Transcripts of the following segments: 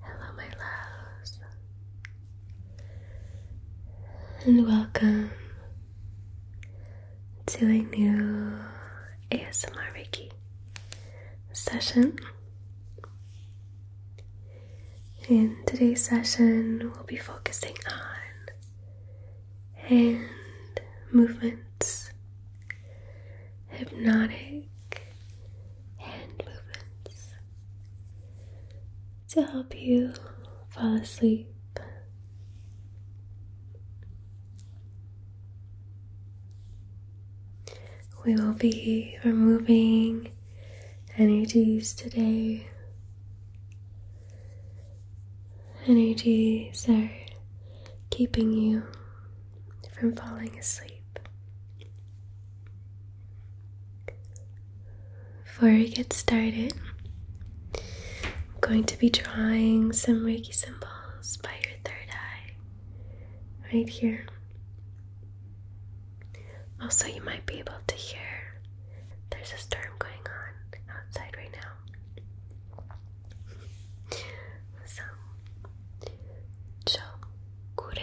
Hello, my loves, and welcome to a new ASMR Reiki session. In today's session, we'll be focusing on hand movements, hypnotic hand movements to help you fall asleep. We will be removing energies today. Energies are keeping you from falling asleep. Before we get started, I'm going to be drawing some Reiki symbols by your third eye right here. Also, you might be able to hear there's a storm going on outside right now. So, chokure,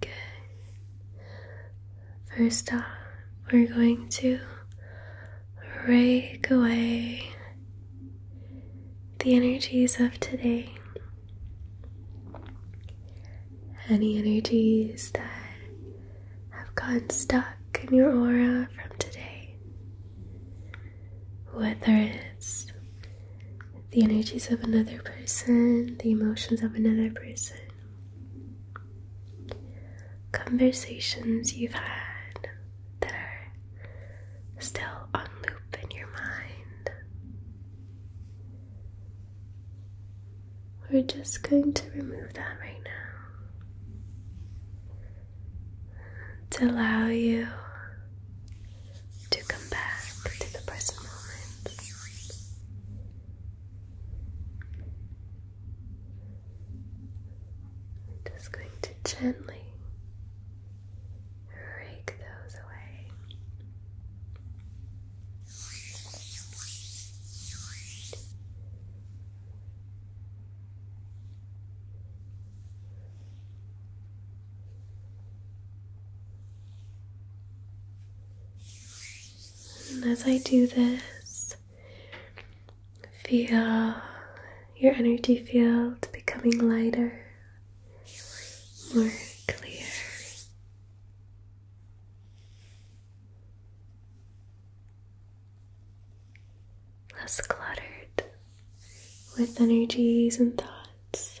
Good. First off, we're going to rake away the energies of today. Any energies that have gotten stuck in your aura from today, whether it's the energies of another person, the emotions of another person, conversations you've had that are still on loop in your mind. We're just going to remove that right now to allow you to come back to the present moment. I'm just going to gently rake those away. And as I do this, feel your energy field becoming lighter, more clear. Less cluttered with energies and thoughts.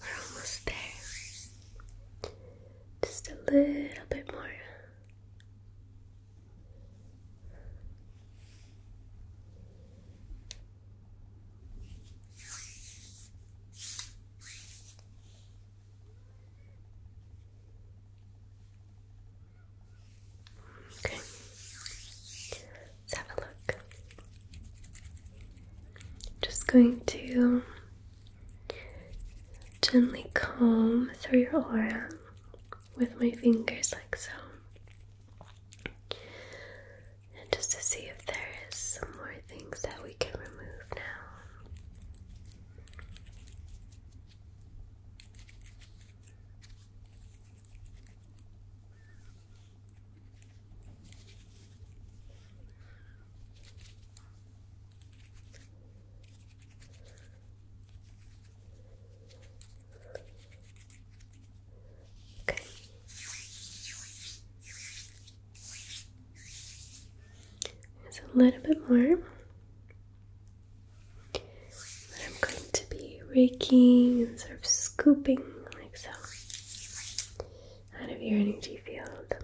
We're almost there. Just a little bit more. Okay. Let's have a look. Just going to gently comb through your aura with my fingers, like so. And just to see if there is some more things that we can remove now. Okay. There's a little bit more. I'm going to be raking and sort of scooping so out of your energy field.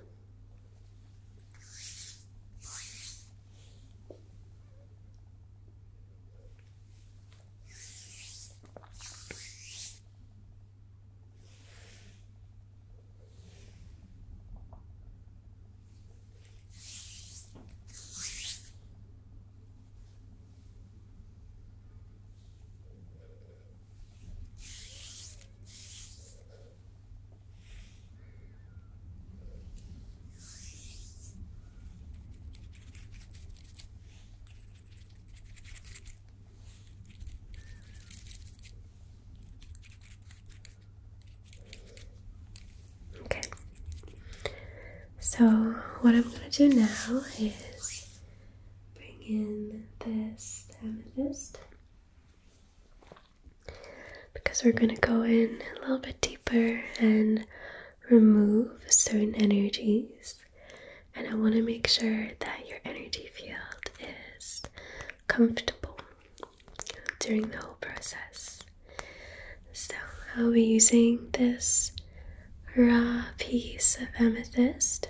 Okay, so what I'm going to do now is bring in this amethyst because we're going to go in a little bit deeper and remove certain energies. And I want to make sure that your energy field is comfortable during the whole process. So, I'll be using this raw piece of amethyst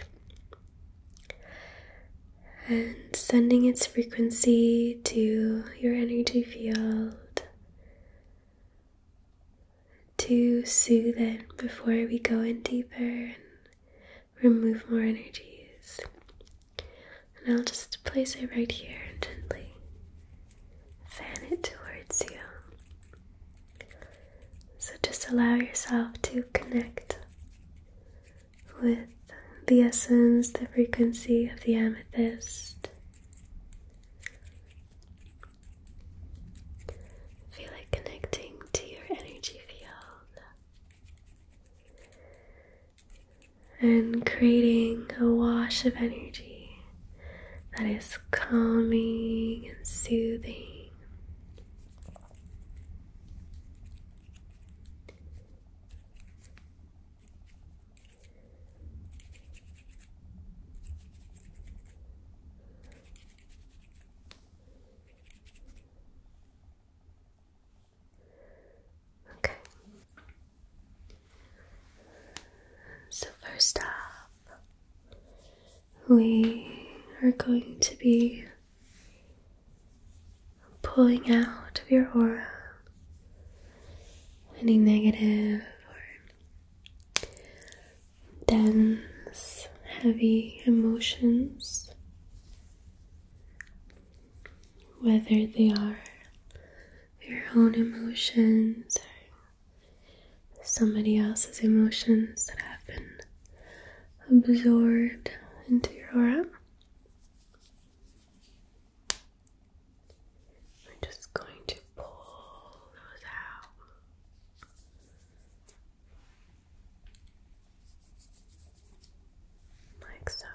and sending its frequency to your energy field to soothe it before we go in deeper and remove more energies. And I'll just place it right here and gently fan it towards you. So just allow yourself to connect with the essence, the frequency of the amethyst. Feel like connecting to your energy field and creating a wash of energy that is calming and soothing. Okay. So first off, we are going to be pulling out of your aura any negative or dense, heavy emotions, whether they are your own emotions or somebody else's emotions that have been absorbed into your aura. We're just going to pull those out. Like so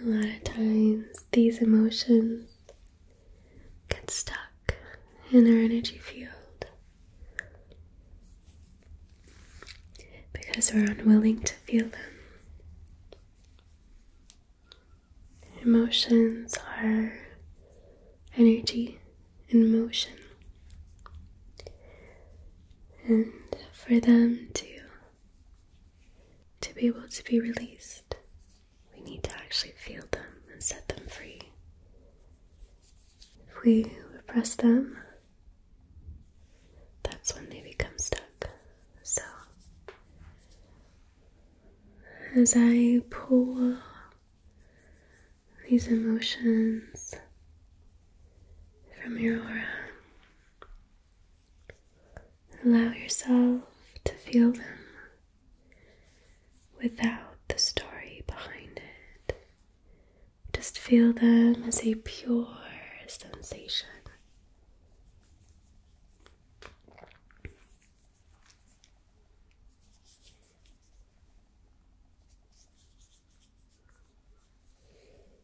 a lot of times, these emotions get stuck in our energy field because we're unwilling to feel them. Emotions are energy in motion. And for them to to be able to be released, we need to actually feel them and set them free. If we repress them, that's when they become stuck. So, as I pull these emotions from your aura, Allow yourself to feel them without the story behind it. Just feel them as a pure sensation.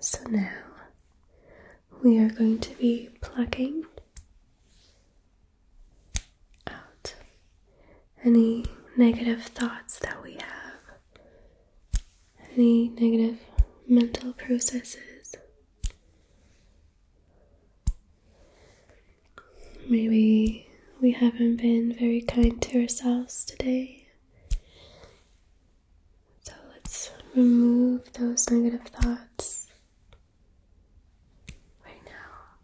So now we are going to be plucking out any negative thoughts that we have, any negative mental processes. Maybe we haven't been very kind to ourselves today. So let's remove those negative thoughts right now.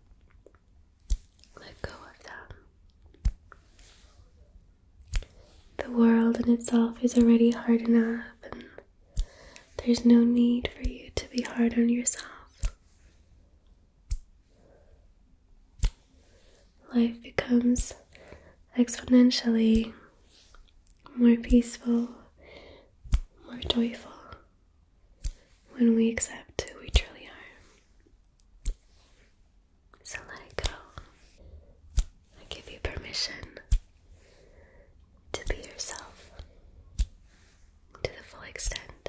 Let go of them. The world in itself is already hard enough, and there's no need for you to be hard on yourself. Life becomes exponentially more peaceful, more joyful when we accept who we truly are. So let go. I give you permission to be yourself to the full extent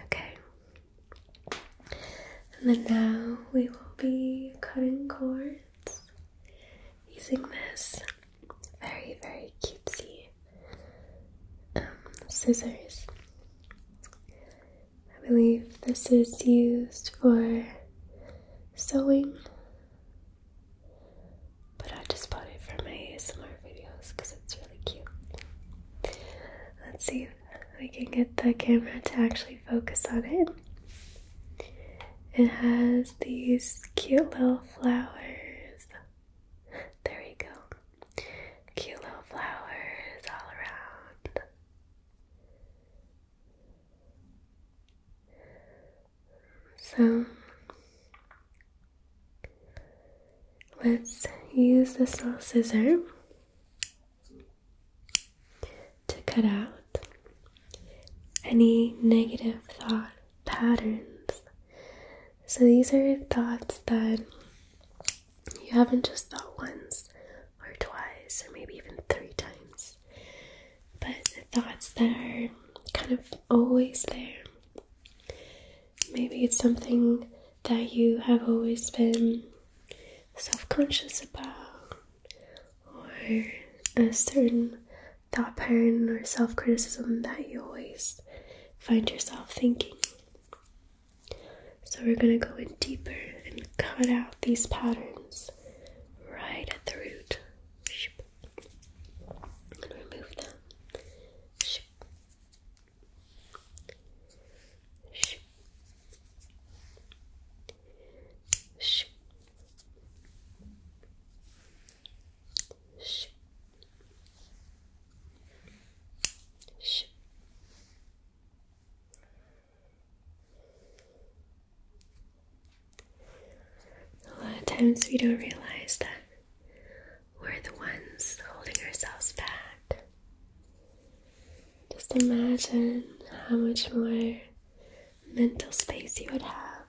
Okay, and then now we will be cutting cords using this very, very cutesy um, scissors. I believe this is used for sewing, but I just bought it for my ASMR videos because it's really cute. Let's see if we can get the camera to actually focus on it. It has these cute little flowers. There we go. Cute little flowers all around. So let's use this little scissor to cut out any negative thought patterns. So these are thoughts that you haven't just thought once or twice or maybe even three times, but thoughts that are kind of always there. Maybe it's something that you have always been self conscious about, or a certain thought pattern or self criticism that you always find yourself thinking. So, we're going to go in deeper and cut out these patterns right at the root and remove them. A lot of times we don't realize that we're the ones holding ourselves back. Just imagine how much more mental space you would have,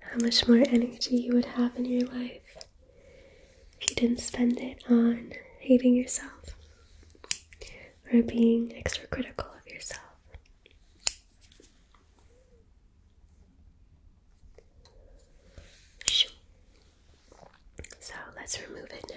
how much more energy you would have in your life if you didn't spend it on hating yourself or being extra critical of yourself. So let's remove it now.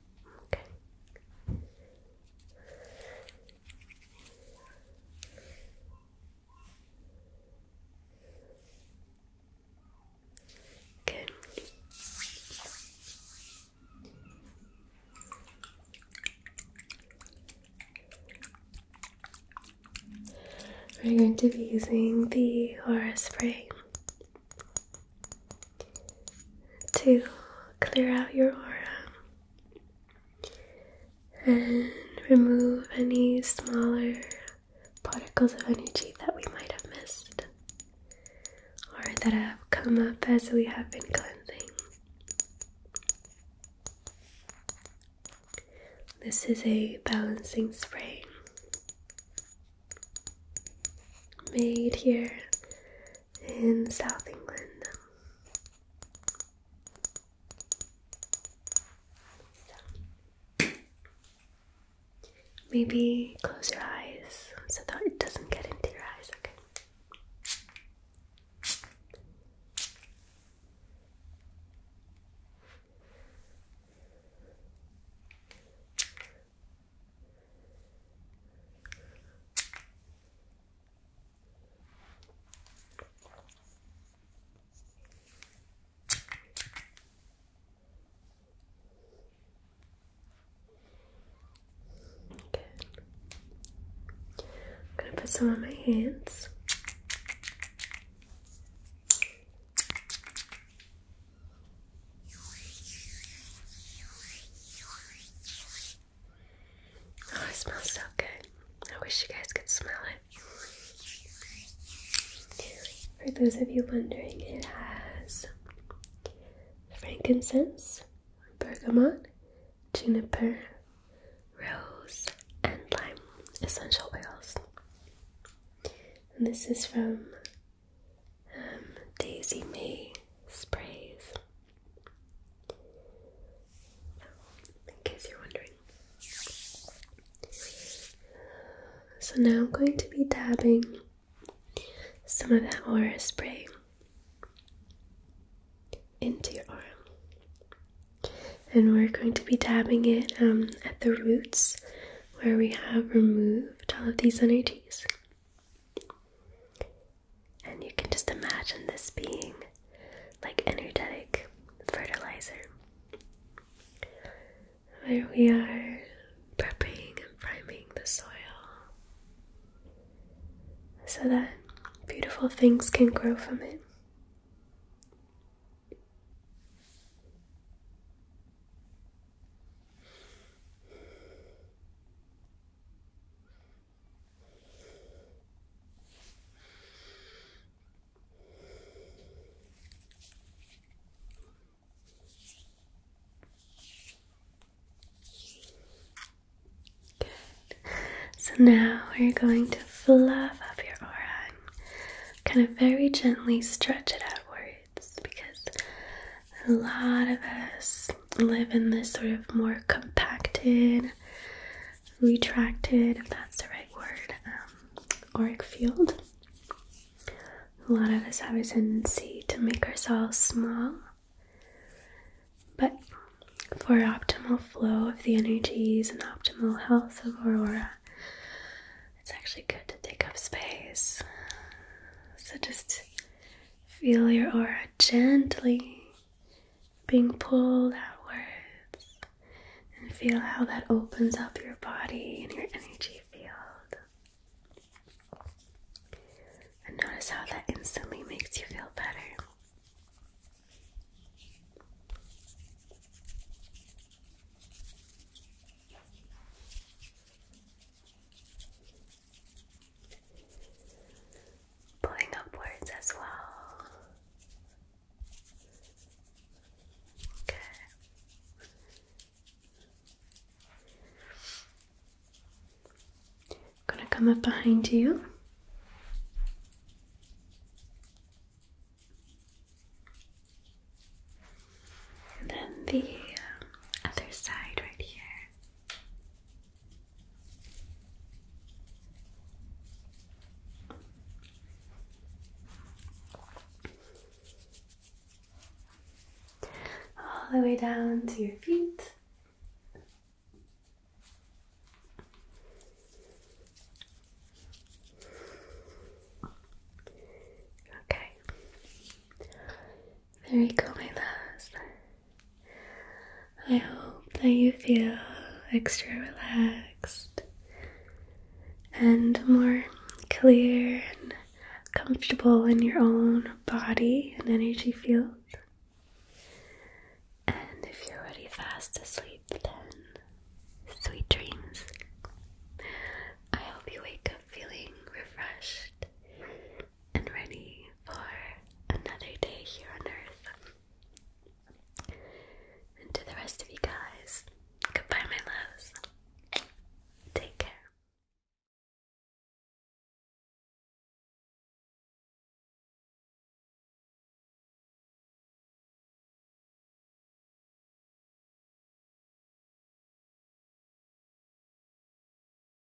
Okay. Good. We're going to be using the aura spray to clear out your aura and remove any smaller particles of energy that we might have missed or that have come up as we have been cleansing. This is a balancing spray made here in South England. Maybe close your eyes so that it doesn't get into your eyes, okay? I'm going to put some on my hands. Oh, it smells so good. I wish you guys could smell it. For those of you wondering, it has frankincense, bergamot, juniper, rose, and lime essential oils. And this is from um, Daisy May Sprays in case you're wondering. So now I'm going to be dabbing some of that aura spray into your arm. And we're going to be dabbing it um, at the roots where we have removed all of these nits. And you can just imagine this being like energetic fertilizer. Where we are prepping and priming the soil so that beautiful things can grow from it. So now we're going to fluff up your aura kind of very gently stretch it outwards because a lot of us live in this sort of more compacted, retracted, if that's the right word, um, auric field. A lot of us have a tendency to make ourselves small, but for optimal flow of the energies and optimal health of Aurora, it's actually good to take up space. So just feel your aura gently being pulled outwards, and feel how that opens up your body and your energy field. And notice how that instantly makes you feel better. Pulling upwards as well. Good. I'm gonna come up behind you. And then the um, other side right here. All the way down to your feet. Okay. There you go, my love. I hope that you feel extra relaxed and more clear and comfortable in your own body and energy field. And if you're already fast asleep, then sweet dreams. I hope you wake up feeling refreshed and ready for another day here on earth. And to the rest of you guys, goodbye, my loves. Take care.